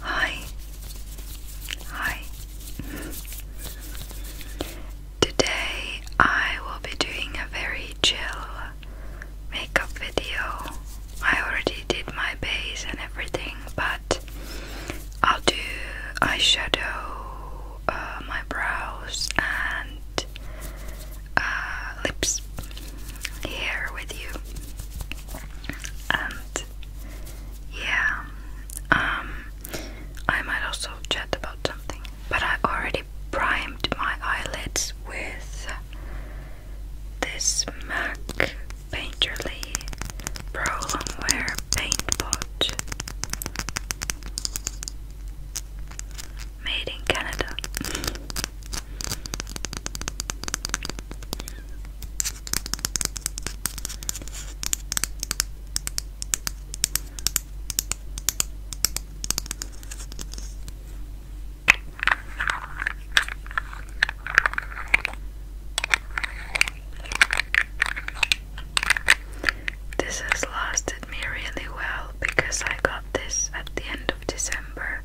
Hi. Hi. Today I will be doing a very chill makeup video. I already did my base and everything, but I'll do eyeshadow, uh, my brows, and uh, lips here with you. And yeah, um, I might also chat about something. But I already primed my eyelids with this MAC Painterly Pro Paint Pot made in Canada. This has lasted me really well because I got this at the end of December.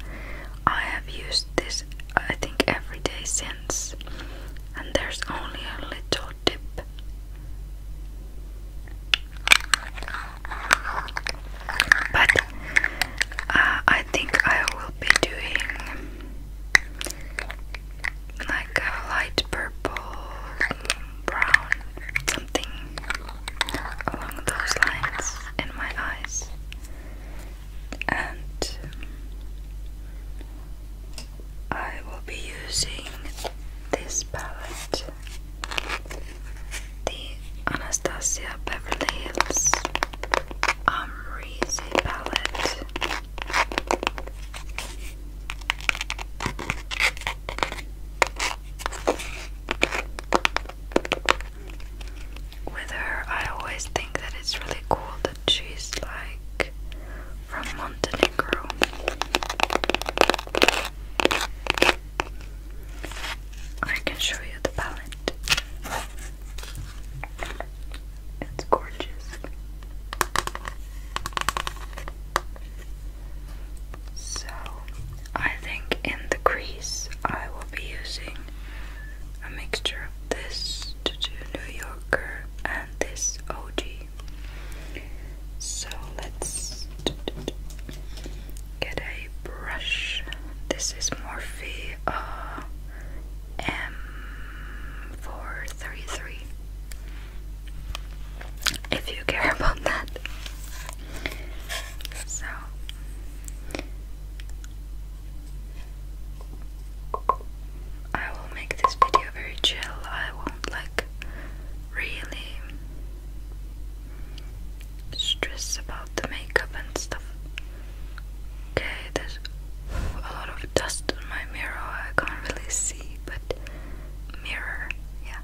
I have used this, I think, every day since and there's only a little dip. But uh, I think I will be doing like a light purple, brown, something along those lines in my eyes and I will be using this palette, the Anastasia Beverly Hills Amrezy palette with her, I always think that it's really cool that she's like from Montenegro. I can show you the palette. It's gorgeous. So, I think in the crease I will be using a mixture of this to do New Yorker and this OG. So let's get a brush. This is Morphe uh, M433. If you care about that. So I will make this video very chill. I won't like really stress about the makeup and stuff. Okay, there's a lot of dust on my mirror. I can't really see, but mirror, yeah.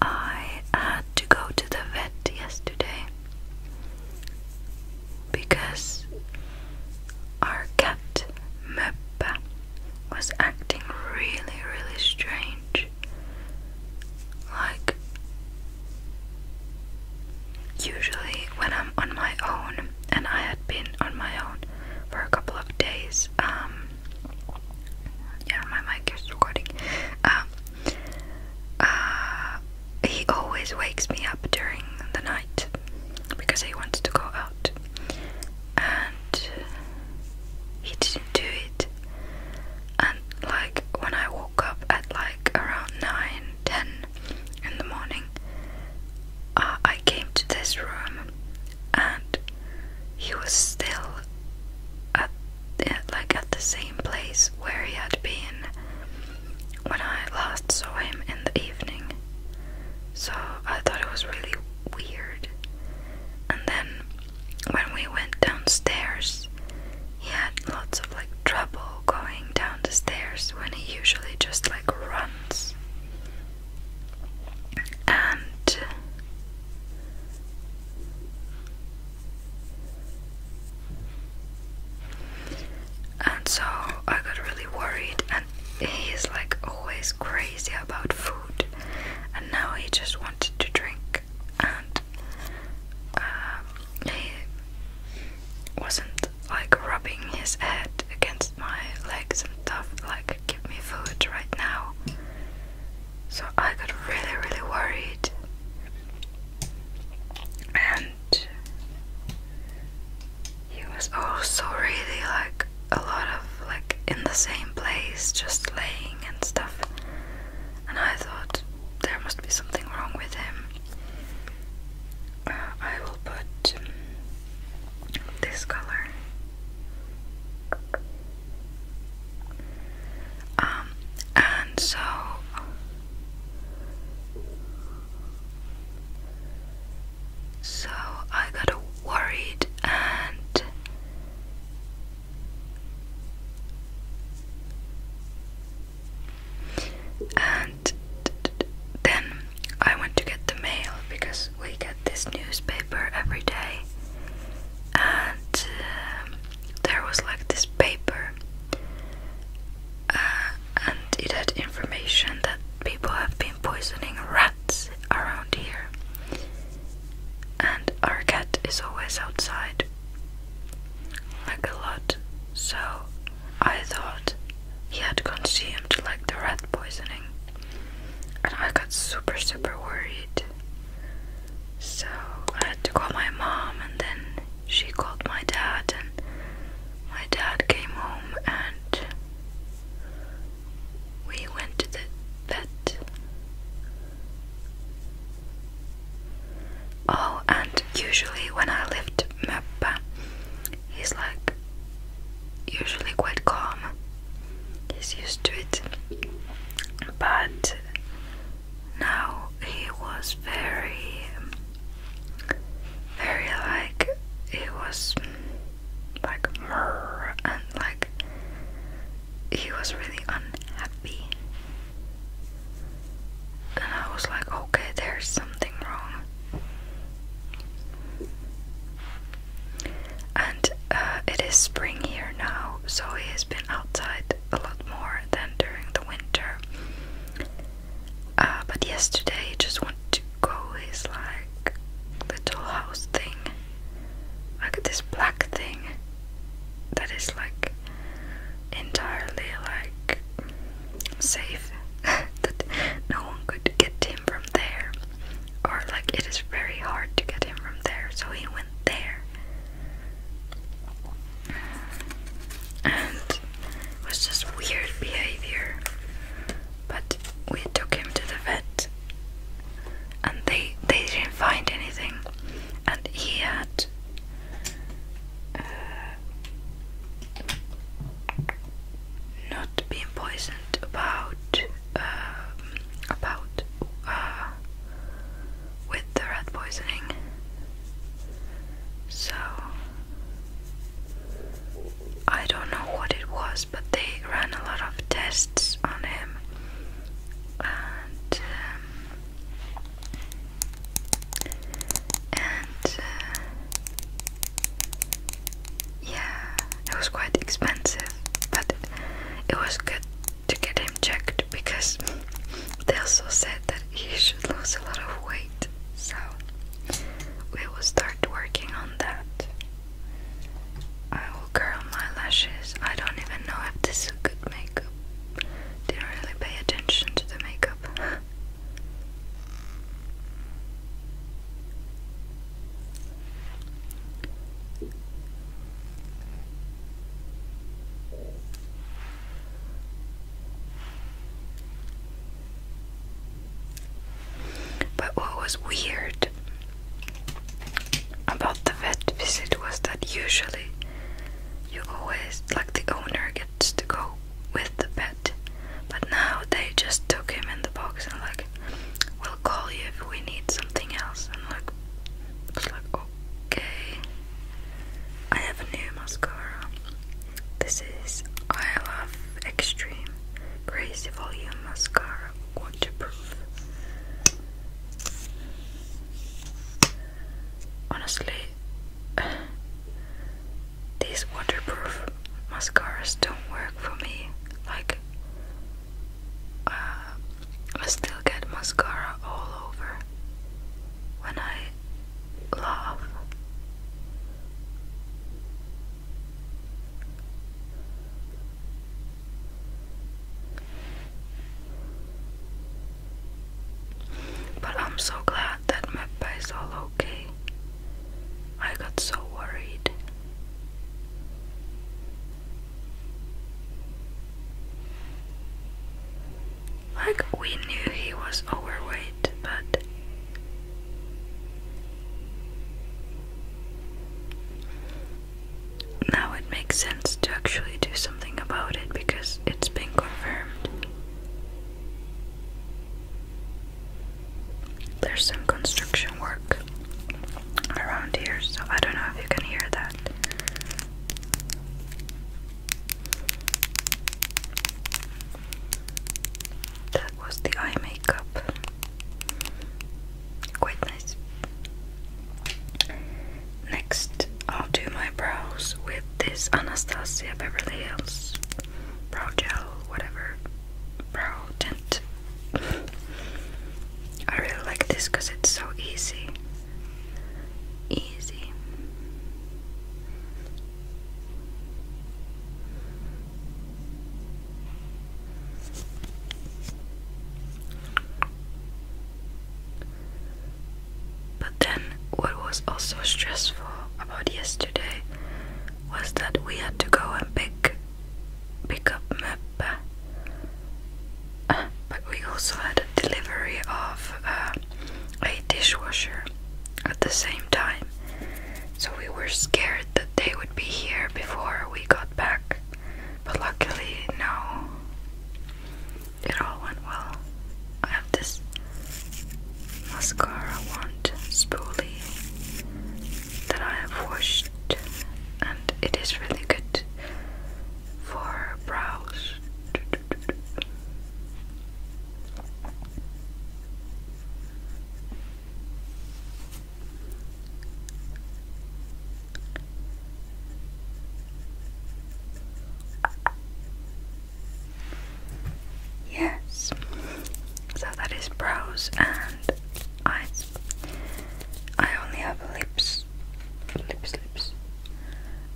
I had to go to the vet yesterday because our cat Meppa was acting really, really strange. Like, usually when I'm on my own, and I had been on my own for a couple of days, um, yeah, my mic is recording. Um, uh, he always wakes me up during the night because he wants to go out, and he didn't do it. And like when I woke up at like around 9, 10 in the morning, uh, I came to this room and he was still at like at the same place where he had been when I last saw him in the evening. So I thought it was really weird. And then when we went downstairs, he had lots of like trouble going down the stairs when he usually just like runs. And and so I got really worried and he's like always crazy about food and now he just wanted to drink and um, he wasn't like rubbing his head against my legs and stuff, like, give me food right now. So I got really, really worried. And he was also really like a lot of like in the same place, just laying and stuff and I thought there must be something wrong with him. I will put um, this color. Um, and so so I got worried and and then I went to get the mail because we get this newspaper every day, and uh, there was like this paper, uh, and it had information that people have been poisoning rats around here and our cat is always outside like a lot so I thought he had consumed like the rat poisoning and I got super super worried so I had to call my mom and then she called my dad and my dad came home and we went to the vet Oh, and usually when I lift Mepa, he's like usually quite calm. He's used to it. But now he was very, very like, he was like, and like, he was really unhappy. And I was like, okay, there's something wrong. And uh, it is spring here now, so he has been outside a lot more than during the winter. Uh, but yesterday, he just wanted to go his like little house thing. Look this black thing that is like entirely like safe that no one could get him from there. Or like it is very hard to get him from there, so he went there. And it was just weird behavior. But we took him to the vet and they they didn't find anything and he had uh, not been poisoned about um, about uh, with the rat poisoning so I don't know what it was but they ran a lot of tests on him and um, uh, yeah, it was quite expensive, but it was good to get him checked because they also said that he should lose a lot of weight, so we will start working on that girl, my lashes. I don't even know if this is good makeup. Didn't really pay attention to the makeup. But what was weird about the vet visit was that usually you always, like the owner gets to go with the pet, but now they just took him in the box and like, we'll call you if we need something else. And like, I was like, okay, I have a new mascara. This is I Love Extreme Crazy Volume Mascara waterproof. Honestly, these waterproof mascaras don't work for me. Like, uh, I still get mascara all over when I laugh. But I'm so glad that my is all okay. I got so worried. Like, we knew he was overweight, but now it makes sense to actually do something about it because it's been confirmed. There's some construction work around here, so I don't know if you can hear that. That was the eye makeup quite nice. Next, I'll do my brows with this Anastasia Beverly Hills brow gel, whatever brow tint. I really like this because it's so easy. Easy. But then, what was also stressful about yesterday was that we had to go and pick, pick up Meppe. but we also had a delivery of uh, a dishwasher at the same time, so we were scared that they would be here before we got back. But luckily, no. It all went well. I have this mascara wand spoolie that I have washed, and it is really good for brows. Yes, so that is brows and eyes. I only have lips, lips, lips.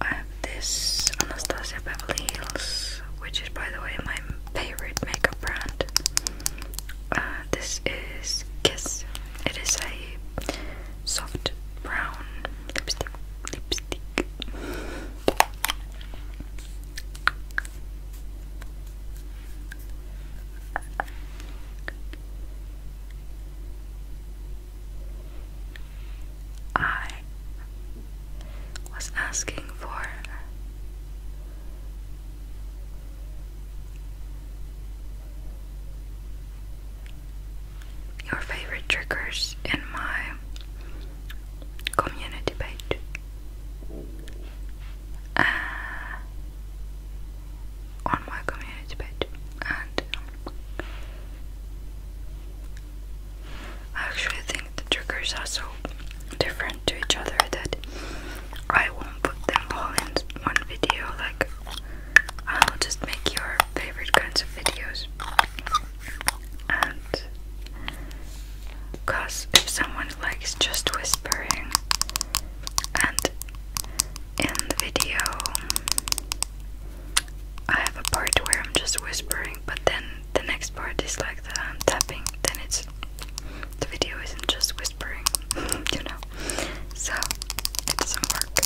I have this Anastasia Beverly Hills, which is by the way my favorite makeup brand. Uh, this is Kiss. It is a soft brown lipstick. Lipstick. I was asking for your favorite triggers in my community page. Uh, on my community page, and I actually think the triggers are so different to each other that I won't put them all in one video, like, I'll just make your favorite kinds of videos. And, because if someone likes just whispering, and in the video, I have a part where I'm just whispering, but then the next part is like that I'm tapping, then it's the video isn't just whispering, you know so it doesn't work.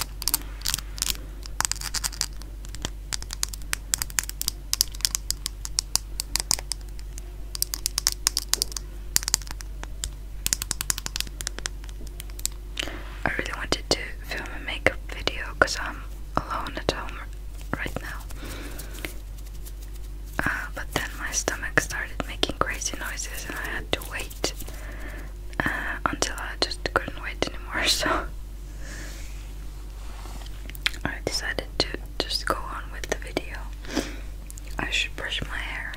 I really wanted to film a makeup video because I'm alone at home right now. Uh, but then my stomach started making crazy noises and I had to wait uh, until I just couldn't wait anymore. So I decided to just go on with the video. I should brush my hair.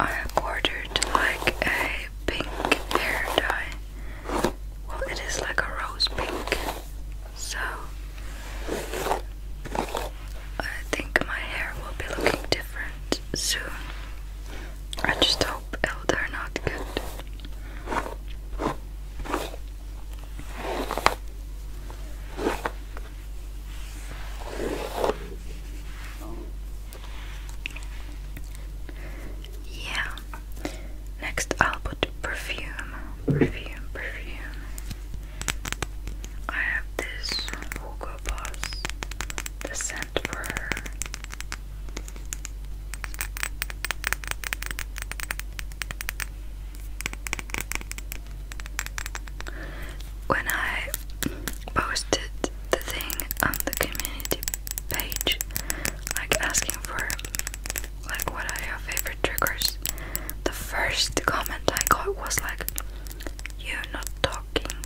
I ordered like a pink hair dye. Well, it is like a rose pink. So I think my hair will be looking different soon. I just hope it'll turn out good. Yeah. Next I'll put perfume. Perfume, perfume. I have this Hugo Boss, the scent for When I posted the thing on the community page, like asking for like what are your favorite triggers, the first comment I got was like, "You're not talking."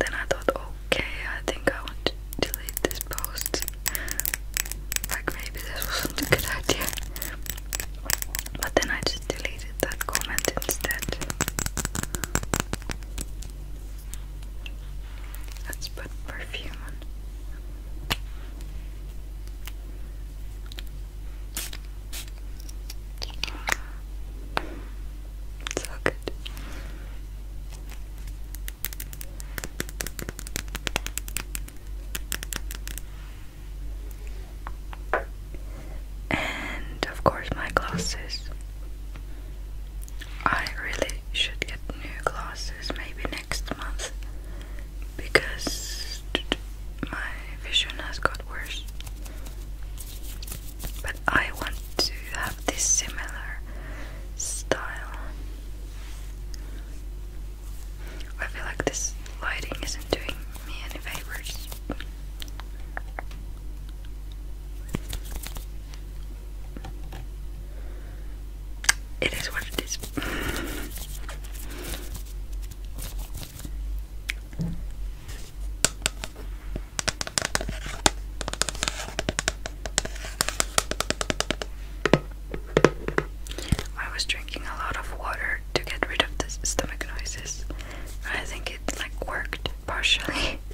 Then I thought, okay, I think I want to delete this post. Like maybe this wasn't a good idea. But then I just deleted that comment instead. Let's put perfume on. So good. And of course, my glasses. I really should get new glasses maybe next month because my vision has got worse. But I want to have this similar style. I feel like this lighting isn't doing me any favors it is what it is. I was drinking a lot of water to get rid of the stomach noises. I think it like worked partially.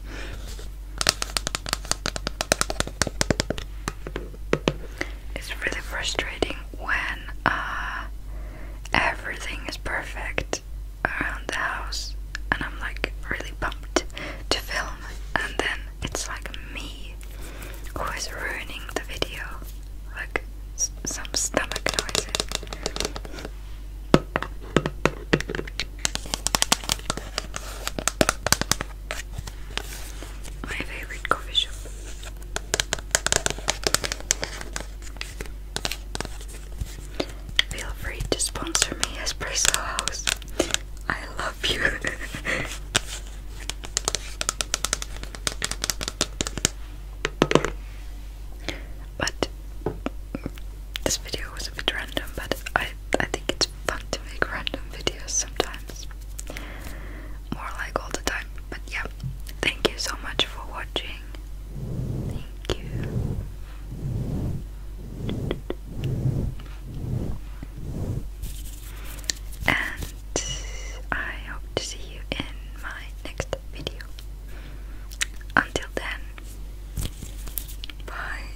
It's really frustrating when uh, everything is perfect around the house and I'm like really pumped to film and then it's like me who is ruining the video like some stomach noises my favorite coffee shop. Feel free to sponsor me, Espresso House. I love you. but this video was a bit random, but I I think it's fun to make random videos sometimes. More like all the time. But yeah, thank you so much for watching. Thank you. And I hope to see you in my next video. Until then, bye.